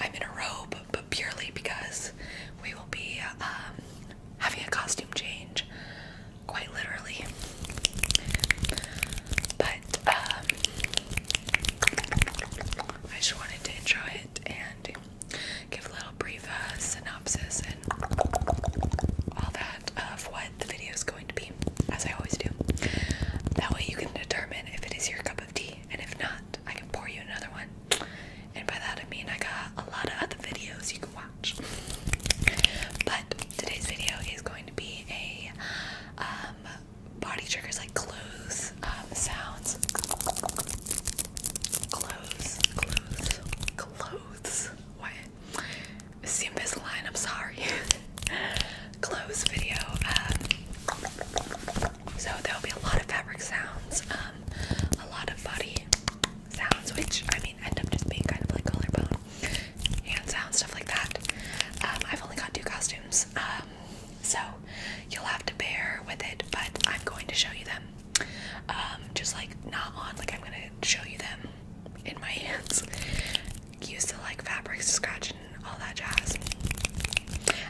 I'm in a robe, but purely because we will be um, having a costume change, quite literally. But um, I just wanted to intro it and give a little brief uh, synopsis and all that of what the video is going to be, as I always do. That way you can determine if it is your cup of tea and if not, I can pour you another one. And by that I mean I got a lot of other videos you can watch. But today's video is going to be a um, body triggers like clothes um, sounds. Clothes, clothes, clothes. What? It's the Invisalign. I'm sorry. clothes video. Um, so there'll be a lot of fabric sounds, um, a lot of body sounds, which I mean end up just being kind of like collarbone, hand sounds, stuff like that. Um, I've only got two costumes, so you'll have to bear with it, but I'm going to show you them. just like not on, like I'm gonna show you them in my hands. Use the like fabrics to scratch and all that jazz.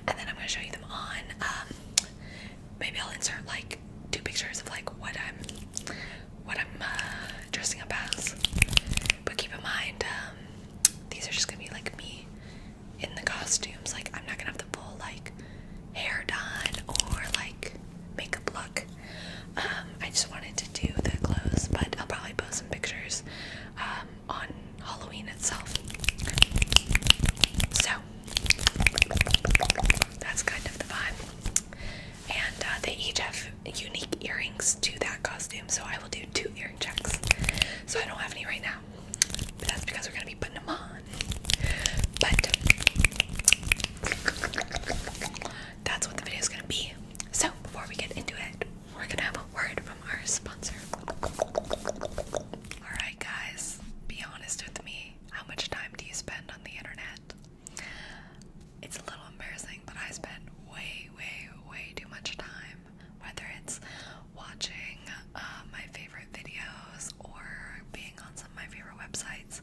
And then I'm gonna show you them on. Um, maybe I'll insert like two pictures of like what I'm, what I'm uh, dressing up as. But keep in mind, um, these are just gonna be like me in the costumes. Like I'm not gonna have the full like hair done or like makeup look. Um, I just wanted to do the clothes, but I'll probably post some pictures on Halloween itself. So that's kind of the vibe. And uh, they each have unique earrings to that costume, so I will do two earring checks. So I don't have any right now, but that's because we're gonna be putting them on. But that's what the video is gonna be. So before we get into it, we're gonna have a word from our sponsor. Alright, guys, be honest with me. How much time do you spend on the internet? It's a little embarrassing, but I spend way, way, way too much time. Whether it's watching uh, my favorite videos or being on some of my favorite websites,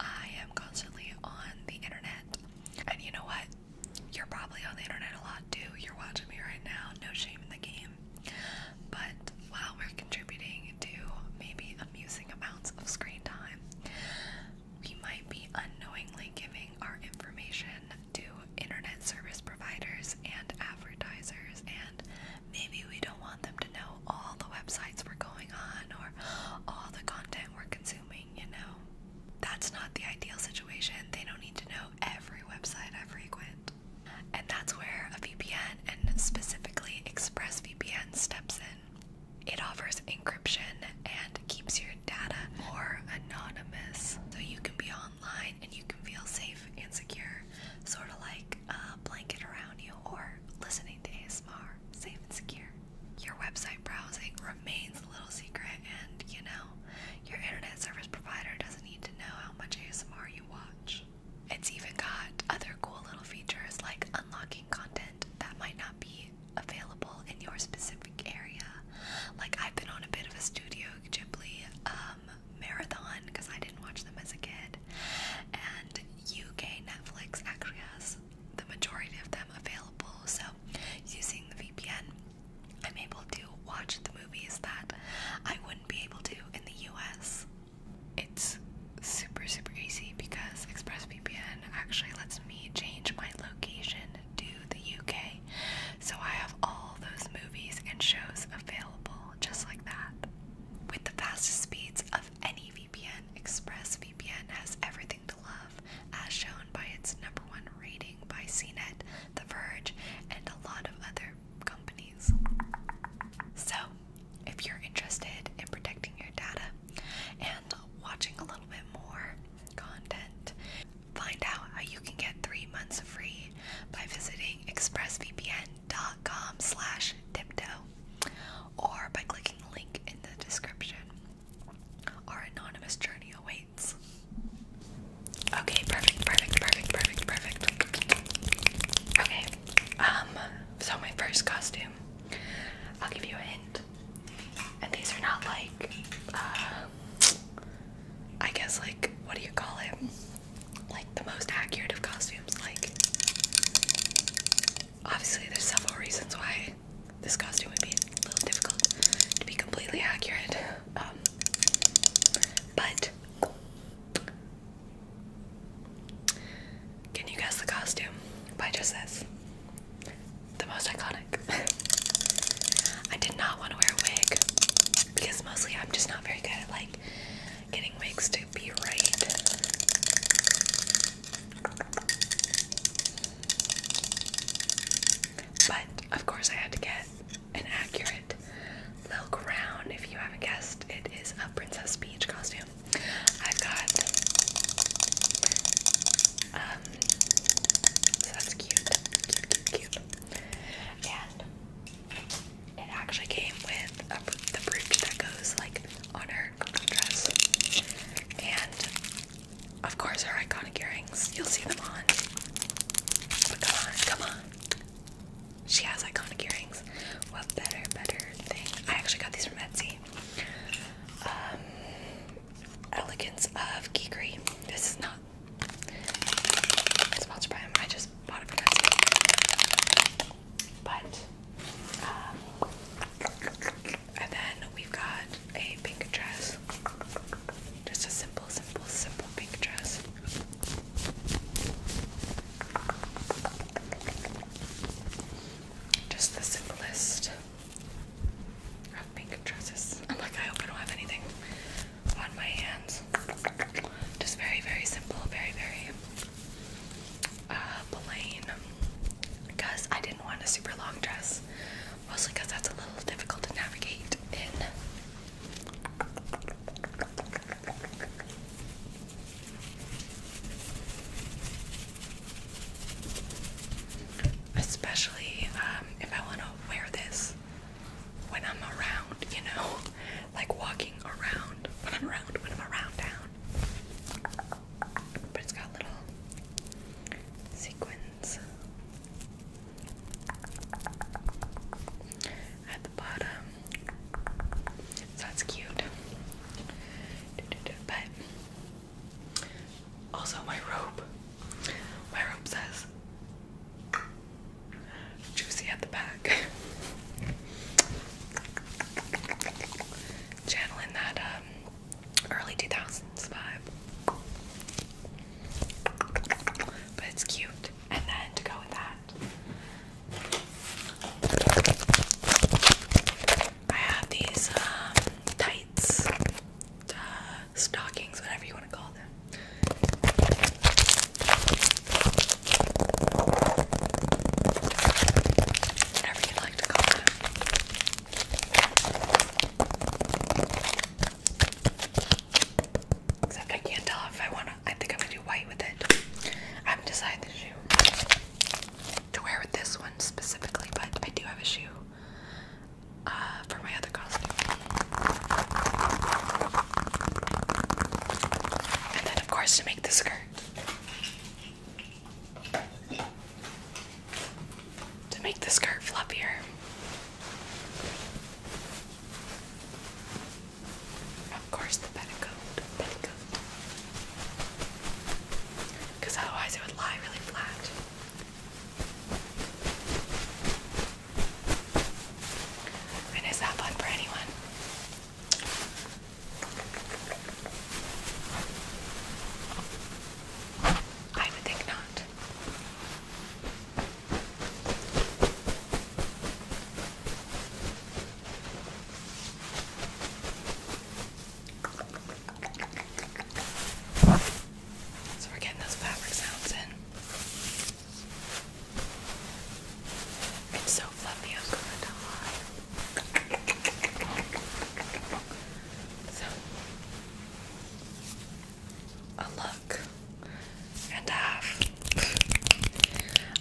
I am constantly on the internet. And you know what? You're probably on the internet a lot too. You're watching me right now. No shame in the game. But while we're contributing to maybe amusing amounts of screen time, we might be unknowingly giving our information to internet service providers and advertisers, and maybe we don't want them to know all the websites we're going on or all the content we're consuming, you know? That's not the ideal situation. They don't need to know every website I frequent. And that's where a VPN, and specifically ExpressVPN, steps in. It offers encryption and keeps your data more anonymous, so you can be online and you can feel safe and secure, sort of like a blanket around you or listening to ASMR, safe and secure. Your website browsing remains a little secret, and you know, your internet service provider doesn't need to know how much ASMR you watch. It's even got other cool little features like unlocking content that might not be available in your specific area. Like I've been on a bit of a Studio Ghibli um, marathon because I didn't watch them as a kid, and UK Netflix actually has the majority of them available. So using the VPN I'm able to watch the movies that I wouldn't be able to in the US. It's super, super easy because ExpressVPN actually lets me change my location to the UK. So I have all those movies and shows available just like that. With the fastest speeds of any VPN, ExpressVPN has everything to love, as shown by its number one rating by CNET, The Verge, and a lot of other companies. So, if you're interested in protecting your data and watching a little bit more content, find out how you can get three months free by visiting expressvpn.com slash tiptoe or by clicking the link in the description. Our anonymous journey awaits lights. Okay, perfect, perfect, perfect, perfect, perfect. Okay, um, so my first costume, I'll give you a hint. And these are not like, uh, I guess, like, what do you call it? Like, the most accurate of costumes. Like, obviously, there's several reasons why this costume would be a little difficult to be completely accurate but can you guess the costume by just The most iconic. I did not want to wear a wig because mostly I'm just not very good at like getting wigs to be right. But of course I had to get and accurate. little Crown, if you haven't guessed, it is a Princess Peach costume. I've got, um, that's cute, cute, And it actually came with a, the brooch that goes like on her dress. And of course, her iconic earrings. You'll see them on. come on, come on. She has iconic earrings. What better, better thing? I actually got these from Etsy. Um, Elegance of Geekery. This is not sponsored by them. I just bought it from Etsy. But, um, and then we've got a pink dress. Just a simple, simple, simple pink dress. Just the simplest of dresses. I'm like, I hope I don't have anything on my hands. Just very, very simple, very, very uh, plain. Because I didn't want a super long dress, mostly because that's a little difficult to navigate in Especially um, if I want to wear this when I'm around, you know, like walking around when I'm around, when I'm around town. But it's got little sequins. Uh, at the bottom. that's cute. But also my robe. My robe says juicy at the back. Channeling that um, early 2000s vibe. But it's cute and then to go with that, I have these um, tights, uh, stockings, whatever you want to call them. Whatever you like to call them. Except I can't tell if I wanna I think I'm gonna do white with it. I haven't decided the shoe to wear with this one specifically, but I do have a shoe uh, for my other costume. And then of course to make the skirt. To make the skirt fluffier. Of course, the petticoat, petticoat. Because otherwise, it would lie really flat. And is that fun for anyone? I would think not. So we're getting those fabric sounds in. It's so fluffy, I'm gonna die. So a look and a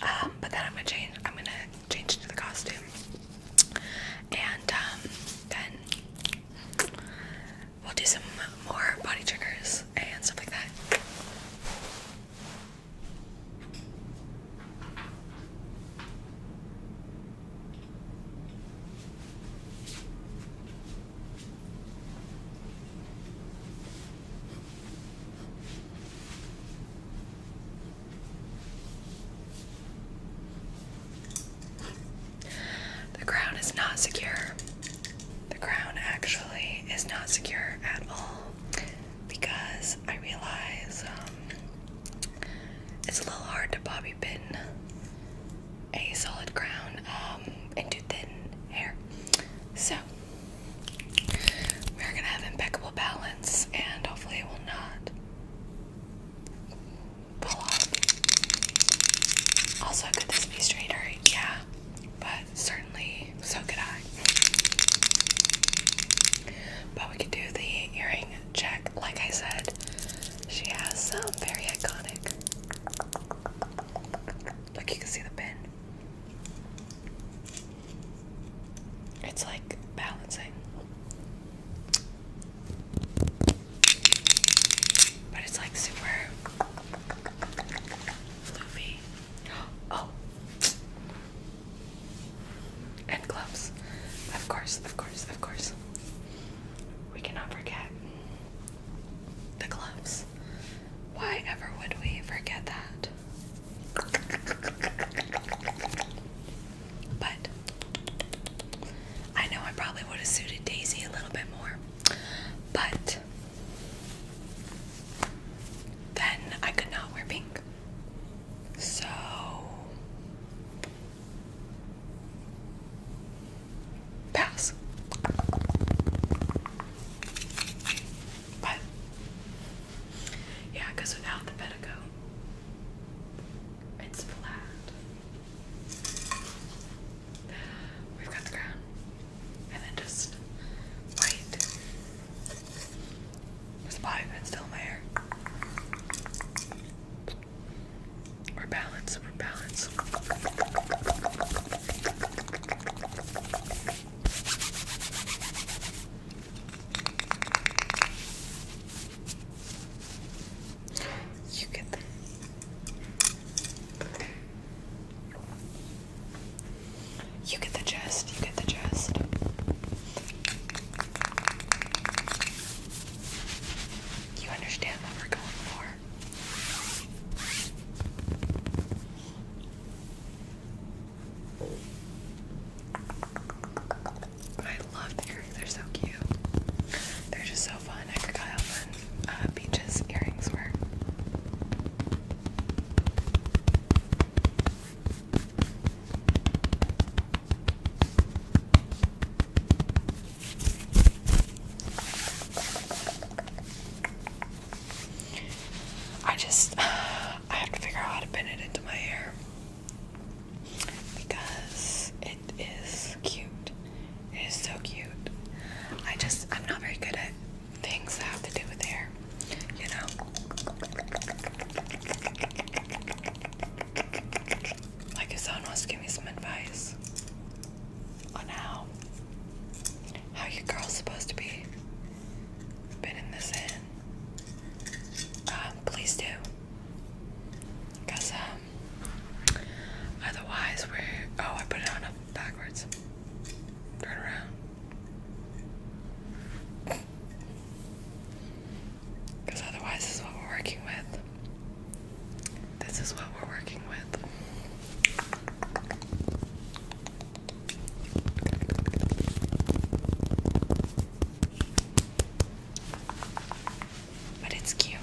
um, but then I'm gonna change. I'm gonna change to the costume, and um, then we'll do some more body triggers and stuff like that. The crown is not secure. The crown actually is not secure at all because I realize um, it's a little hard to bobby pin a solid crown um, and do thin hair. So we're gonna have impeccable balance, and hopefully it will not fall off. Also, could this be straighter? Yeah, but certainly so could I. But we could do the earring check, like I said. She has some very iconic Look, you can see the pin. It's like balancing. But it's like super floofy. Oh! And gloves. Of course, of course, of course. We cannot forget the gloves. Why ever would we forget that? But I know I probably would have suited Daisy a little bit more. But then I could not wear pink. So Pass. But yeah, without the pedicle, it's flat. We've got the ground, and then just white. There's a bobby still in We're balanced. We're balanced. You get them. You get the chest. You get the chest. You understand what we're going for. I love earrings, they're so cute. They're just so fun. I forgot how uh, earrings were. I just I have to figure out how to pin it into my hair because it is cute. It is so cute. I just I'm not very good at things that have to do with hair, you know. Like if someone wants to give me some advice, on how are your girl's supposed to be fitting this in, um, please do. Cause um, otherwise we're oh I put it on backwards. Turn around. Because otherwise, is what we're working with. This is what we're working with. But it's cute.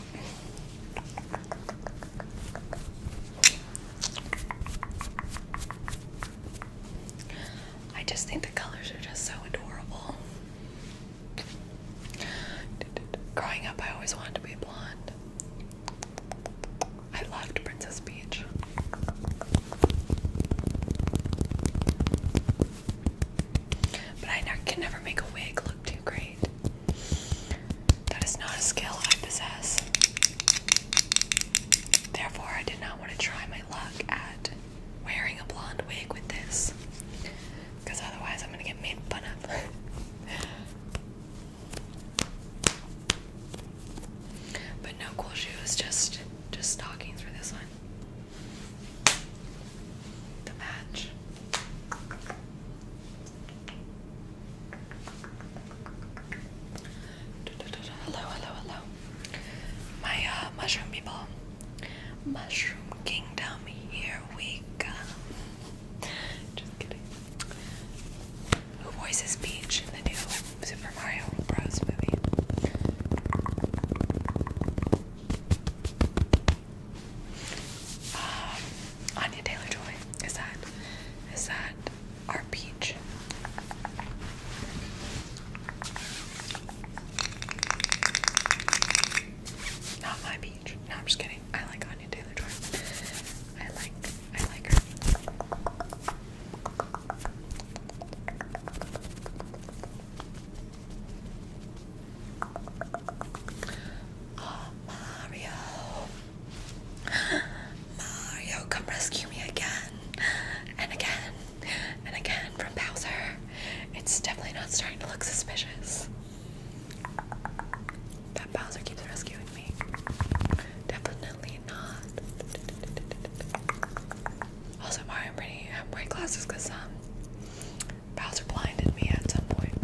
I just think the colors are just so adorable. Growing up, I always wanted to be blonde. I loved Princess Peach. But I can never make a wig look too great. That is not a skill I possess. Therefore, I did not want to try my luck at wearing a blonde wig with this. Because otherwise, I'm going to get made fun of. But no cool shoes, just just stockings for this one. The match. Hello, hello, hello. My uh, mushroom people. Mushroom Kingdom, here we go. Just kidding. Who voices Peach in the new Super Mario Bros. movie? Um, Anya Taylor Joy. Is that is that our Peach? Not my Peach. No, I'm just kidding. I like Anya Taylor Joy. I like I like her. Mario. Mario, come rescue me again and again and again from Bowser. It's definitely not starting to look suspicious. That Bowser keeps rescuing me. Definitely not. Also, Mario, I'm pretty have white glasses because um, Bowser blinded me at some point.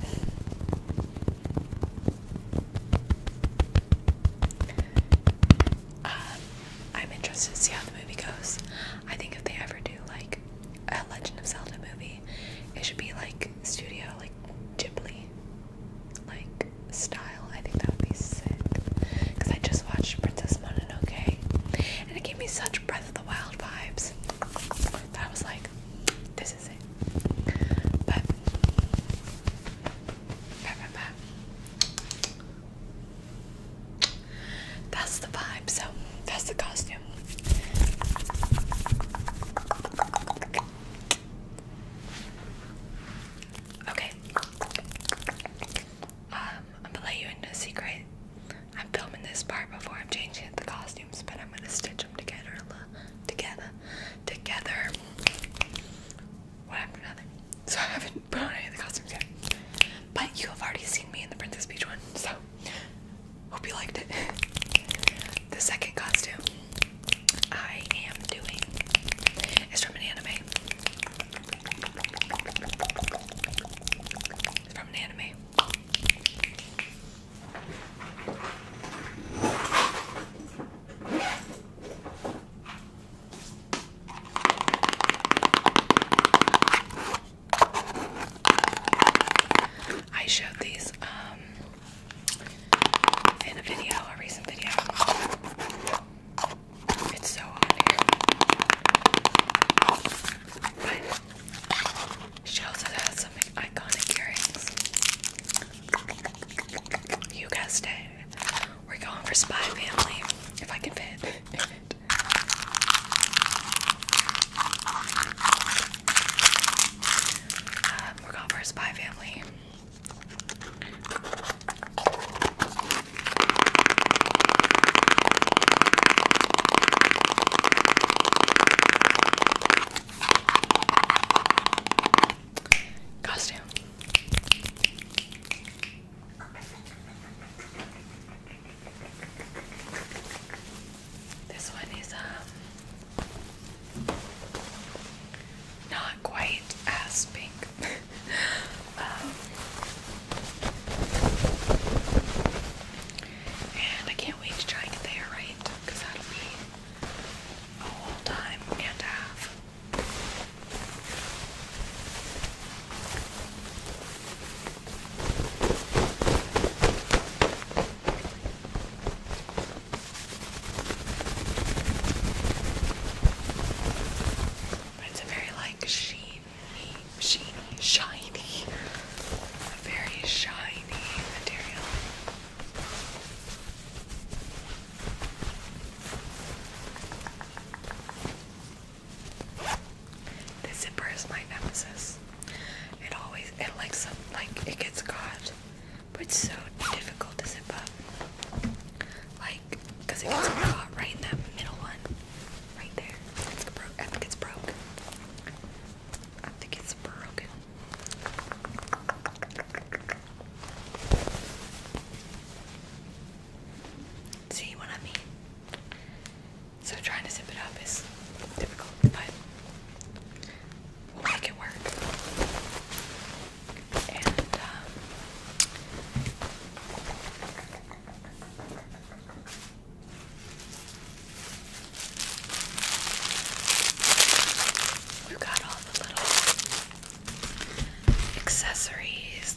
Um, I'm interested to see how the movie goes. I think if they ever do like a Legend of Zelda movie, it should be like studio, like Ghibli like style. I think that would be sick. Cause I just watched Princess Mononoke, and it gave me such Breath of the Wild vibes that I was like, this is it. But, that's the vibe. So that's the costume. Okay. Um, I'm gonna let you into a secret. I'm filming this part before I'm changing the costumes, but I'm gonna stitch them together, together, together. What happened to So I haven't put on any of the costumes yet, but you have already seen me in the Princess Peach one, so hope you liked it. The second costume I am doing is from an anime. from an anime. I showed these um, in a video, a recent video. It's so on But she has some iconic earrings. You guessed it. We're going for Spy Family, if I can fit. Uh, we're going for Spy Family. Costume. This one is um not quite as pink. Um, and I can't wait to try and get the right because that'll be a whole time and a half. But it's a very like sheeny, sheeny, shiny, a very shiny material. This zipper is my nemesis. It always, it likes, like, it gets caught but it's so difficult to zip up. Like, it gets caught right in that middle one. Right there. I think it's broke. I think it's broken. See what I mean? So trying to zip it up is difficult, but make it work. Um, we've got all the little accessories.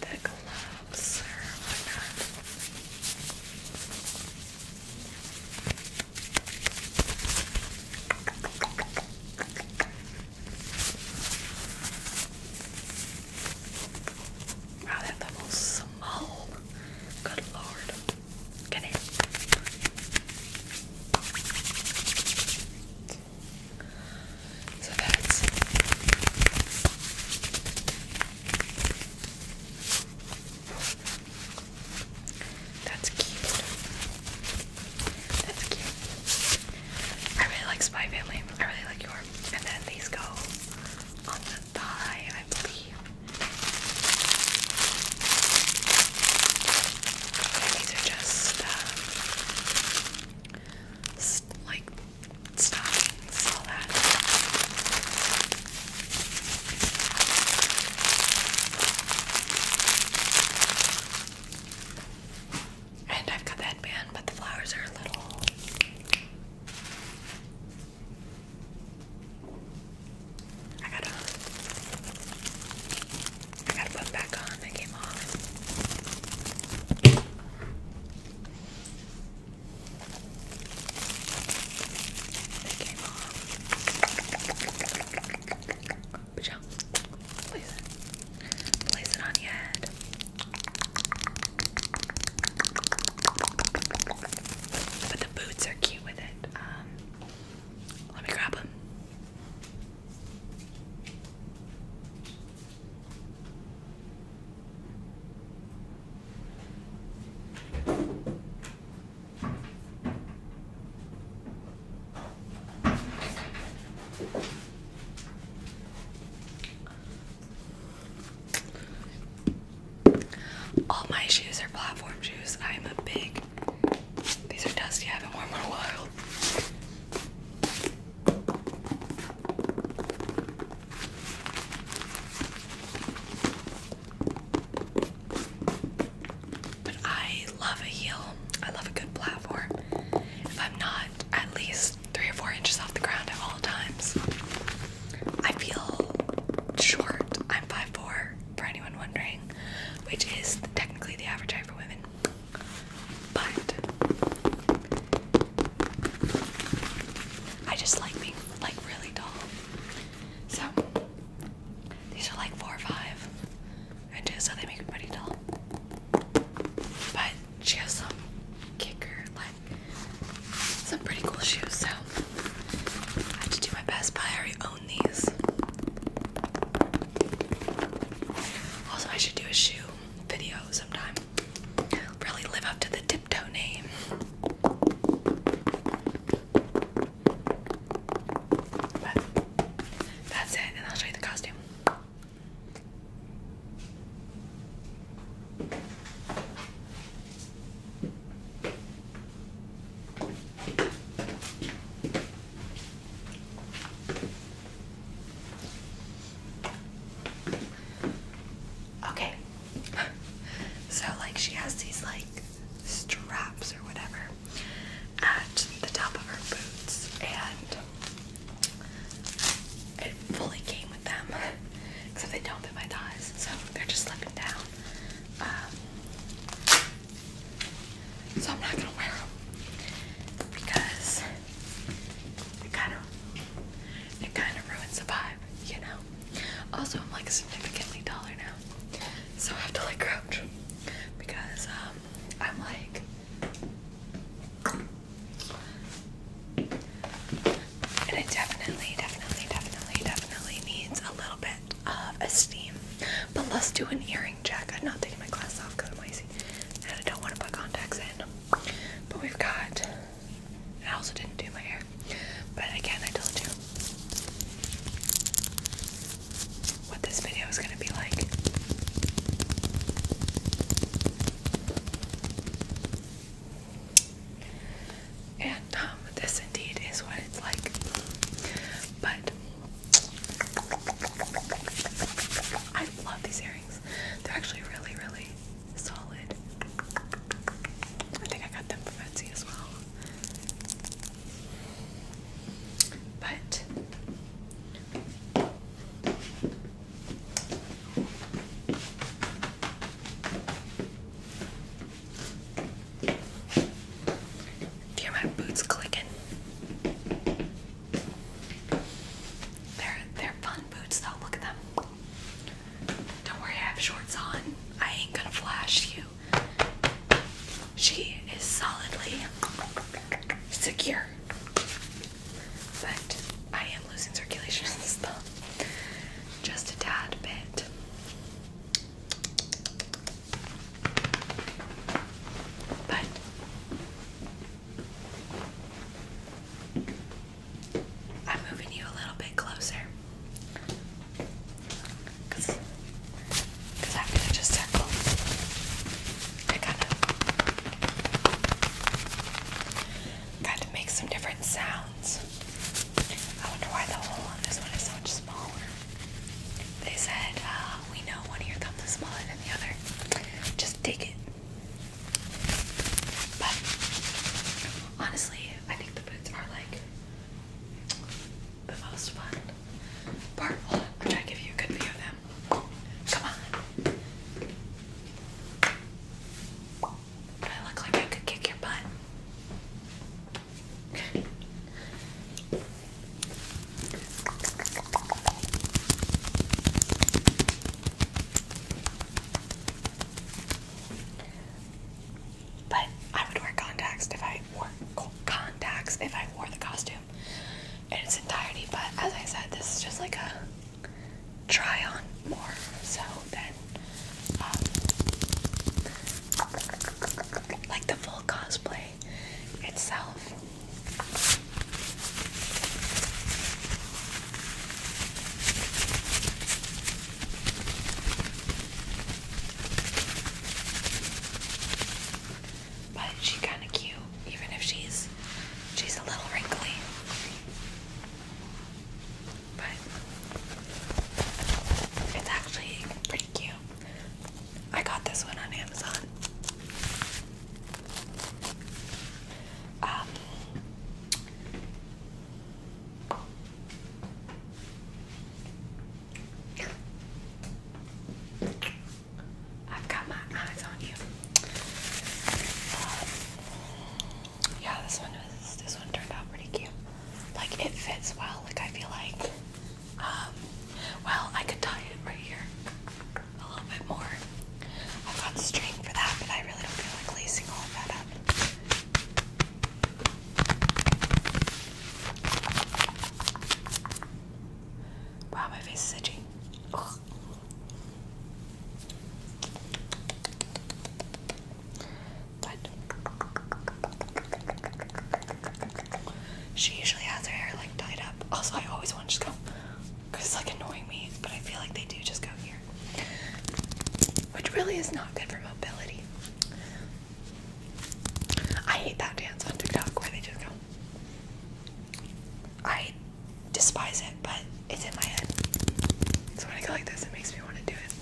The gloves, bumps or Wow, that level's small. Good lord. Get in. So that's that's cute. That's cute. I really like Spy Family. I really like your. And then these go on the thigh, these are just um, like stockings, all that. And I've got the headband, but the flowers are a little. I gotta, I gotta put them back on. They came off. It came off. place it. on your head. But the boots are cute with it. Um, let me grab them. All my shoes are platform shoes. I'm a big. These are dusty. I haven't worn them in a while. But I love a heel. I love a good platform. If I'm not at least three or four inches off the ground at all times, I feel short. I'm 5'4, for anyone wondering, which is technically the average height for women. But I just like being like really tall, So these are like four or five I inches, so they make me pretty tall, But she has some kicker, like some pretty cool shoes. So I have to do my best, but I already own these. Also, I should do a shoe video sometime. Really live up to the Tiptoe name. that's it, and I'll show you the costume. Okay. so like she has these like straps or whatever at the top of her boots and it fully came with them except they don't fit my thighs so they're just slipping down um, so I'm not gonna wear them because it kind of it kind of ruins the vibe you know also, I'm like significantly taller now, so I have to like crouch because um, I'm like. And it definitely, definitely, definitely, definitely needs a little bit of esteem. But let's do an earring Jack. I'm not taking my glasses off because I'm lazy and I don't want to put contacts in. But we've got I also didn't do my hair. But again, I told you what this video is going to be like. And um, this indeed is what it's like. But I love these earrings. They're actually really, really solid. I think I got them from Etsy as well. But do my boots clicking? They're they're fun boots though, look at them. Don't worry, I have shorts on. I ain't gonna flash you. She is solidly secure. But I am losing circulation in this thumb. Just a tad bit. But I'm moving you a little bit closer. I'm going to just circle. I gotta, gotta make some different sounds. I wonder why the hole on this one is so much smaller. They said, uh, we know one of your smaller than the other. Just dig it. But honestly, I think the boots are like the most fun part. Hold i give you a good view of them. Come on. I look like I could kick your butt? But I would wear contacts if I wore contacts if I wore the costume in its entirety. But as I said, this is just like a try on more so then, um, like the full cosplay itself. But she kind of cute, even if she's she's a little wrinkly. But it's actually pretty cute. I got this one on Amazon. Um, I've got my eyes on you. yeah, this one was this one turned out pretty cute. Like it fits well. Like I feel like, um, well, I could tie it right here a little bit more. I've got string for that, but I really don't feel like lacing all of that up. Wow, my face is itchy. But she usually has her hair like tied up. Also, I always want to just go because it's like annoying me, but I feel like they do just go here which really is not good for mobility. I hate that dance on TikTok where they just go. I despise it, but it's in my head. So when I go like this, it makes me want to do it.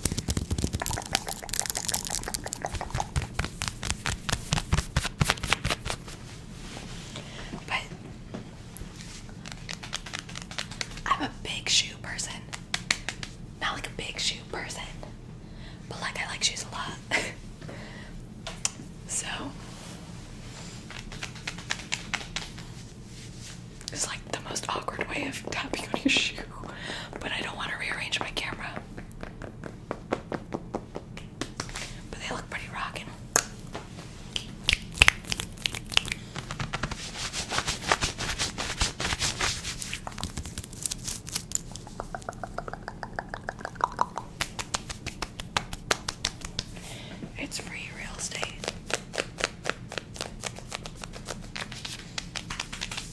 But I'm a big shoe person. Not like a big shoe person, but like I like shoes a lot. so it's like the most awkward way of tapping on your shoe, but I don't want to rearrange my camera. But they look pretty rocking. It's free real estate.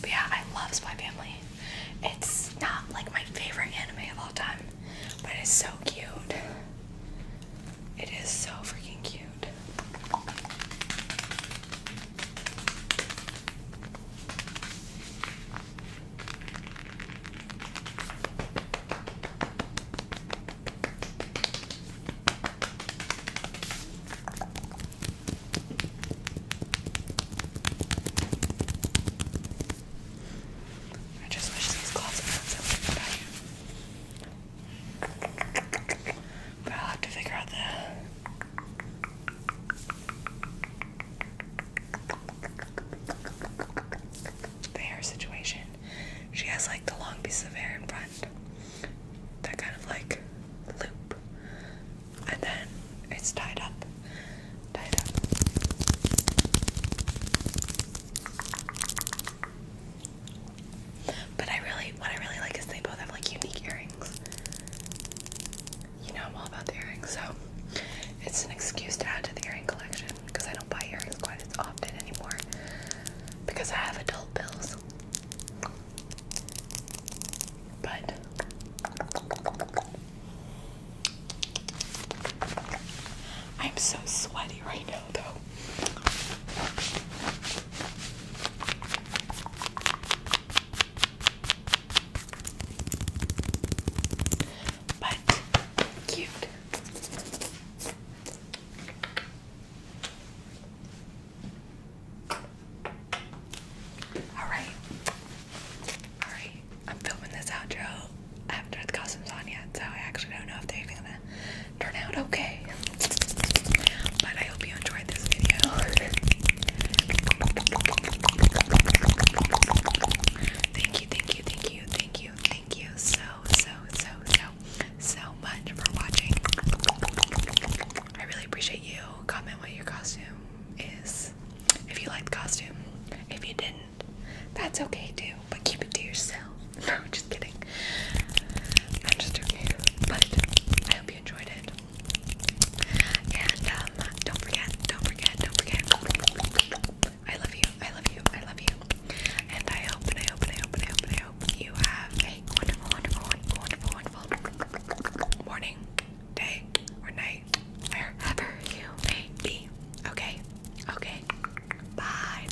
yeah, I love Spy Family. It's not like my favorite anime of all time, but it is so cute. It is so freaking cute. I just wish these gloves were not so big, but I I'll have to figure out the, hair situation. She has like the long piece of hair in front, that kind of like loop, and then it's tied up. Tied up. But I really, what I really like is they both have like unique earrings. You know, I'm all about the earrings, so it's an excuse to add to the earring collection because I don't buy earrings quite as often anymore because I have adult bills. But I'm so sweaty right now, though. But cute. Alright. Alright. I'm filming this outro after the costume's on yet, so I actually don't know if they're gonna turn out okay. But I hope you enjoyed this video. thank you, thank you, thank you, thank you, thank you so, so, so, so, so much for watching. I really appreciate you. Comment what your costume is. If you liked the costume. If you didn't, that's okay too, but keep it to yourself. just kidding. I'm just joking. But I hope you enjoyed it. And um, don't forget, don't forget, don't forget. I love you, I love you, I love you. And I hope I hope I hope I hope I hope you have a wonderful, wonderful, wonderful, wonderful morning, day, or night, wherever you may be. Okay? Okay. Bye.